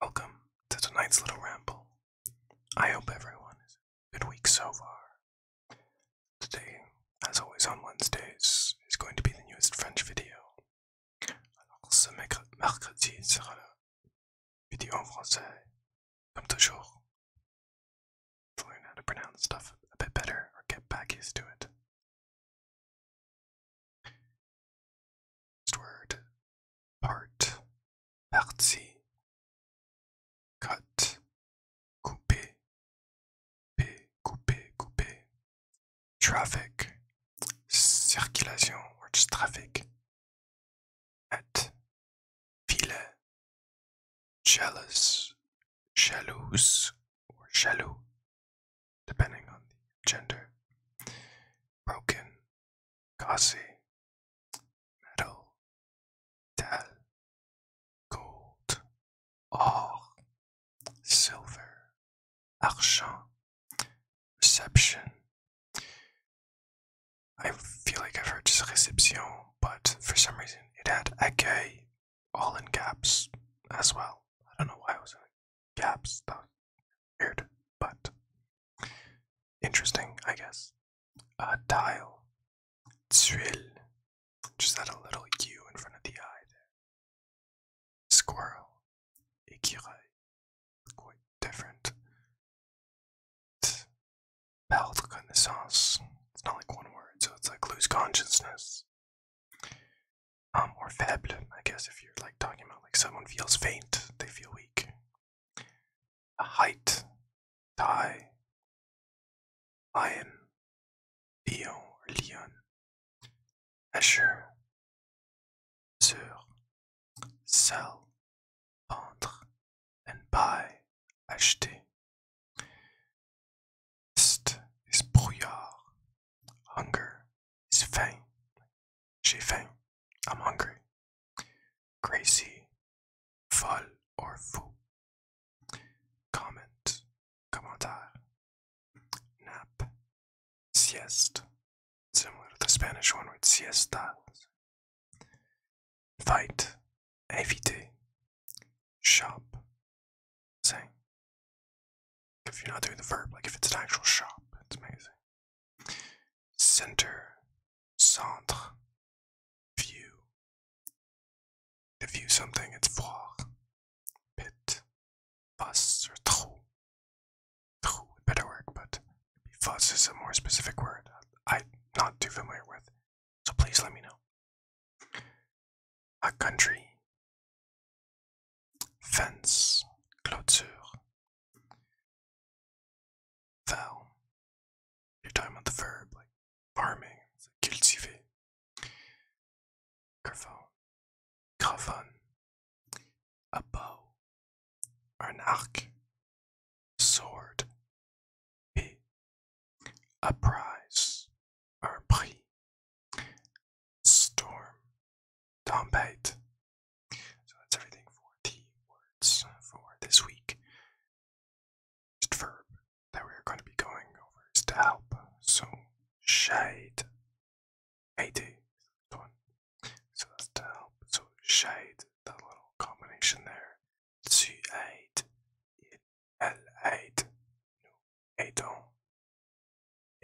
Welcome to tonight's little ramble. I hope everyone is a good week so far. Today, as always on Wednesdays, is going to be the newest French video. Alors ce mercredi sera vidéo en français, comme toujours. To learn how to pronounce stuff a bit better or get back used to it, Word. Part. Partie. Cut. Couper. Couper, couper, couper. Traffic. Circulation or traffic. At. ville. Jealous. Jalouse or shallow, depending on the gender, broken, glossy, metal, metal, gold, or silver, argent, reception. I feel like I've heard just reception, but for some reason it had accueil all in caps as well. I don't know why it was in caps. though. weird, but interesting, I guess. Uh, tile. Tsuil. Just add a little U in front of the eye there. Squirrel. Ikirai. Quite different. Belle de It's not like one word, so it's like lose consciousness. Um, or faible, I guess, if you're like talking about like someone feels faint, they feel weak. A height, tie, lion, lion or lion, asher, sur, cell, ventre, and buy, acheter. Est is brouillard, hunger is faim. J'ai faim, I'm hungry. Crazy, folle or fou. Comment, commentaire. Nap, sieste, similar to the Spanish one with siesta, Fight. Éviter. Shop. Sing. If you're not doing the verb, like if it's an actual shop, it's amazing. Center. Centre. View. To view something, it's voir. Pit. Fuss or trou. Trou, better work, but Fuss is a more specific word I'm not too familiar with, so please let me know. A country. Fence. Clôture. Val. You're talking the verb, like farming, cultiver. Carvon. Cravon a bow, an arc, sword. B. A prize, or prix. Storm, tempête. So that's everything for the words for this week. First verb that we're going to be going over is to help. So shade 80. Come on. So that's to help. So shade, that little combination there. C8, L8, no, 8 on,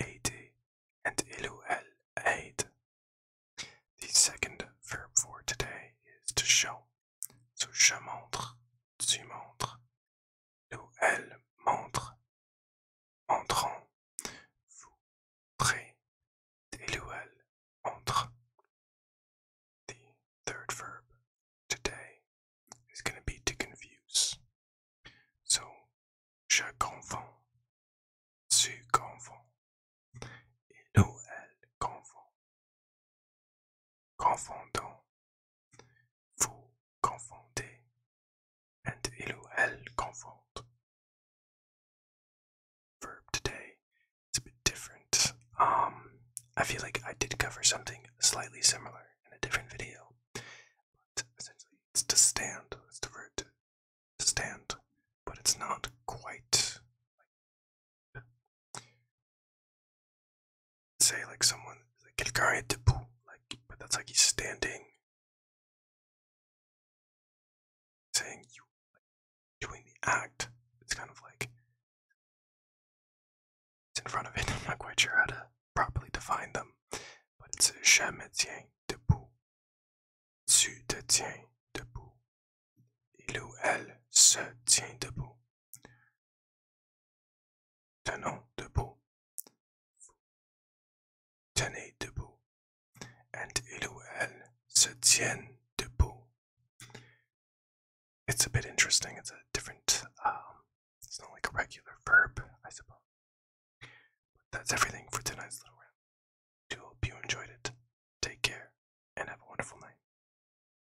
80, and ilu L8. The second verb for today is to show. So je montre, tu montres, nous elle montre, entrant, vous, près, elle, entre. The third verb today is going to be to confuse. So, je confonds, tu confonds, il ou elle confond. Confondons, vous confoundez, and Iluel confound. Verb today, it's a bit different. Um, I feel like I did cover something slightly similar in a different video, but essentially it's to stand. It's the verb stand, but it's not quite say like someone like quelqu'un est debout, like but that's like he's standing saying you like, doing the act. It's kind of like it's in front of it. I'm not quite sure how to properly define them. But it's je me tiens debout. Tu te tiens debout. Il ou elle se tient debout tenant debout, tenez debout, and il elle se tiennent debout. It's a bit interesting. It's a different. Um, it's not like a regular verb, I suppose. But that's everything for tonight's little round. I do hope you enjoyed it. Take care and have a wonderful night.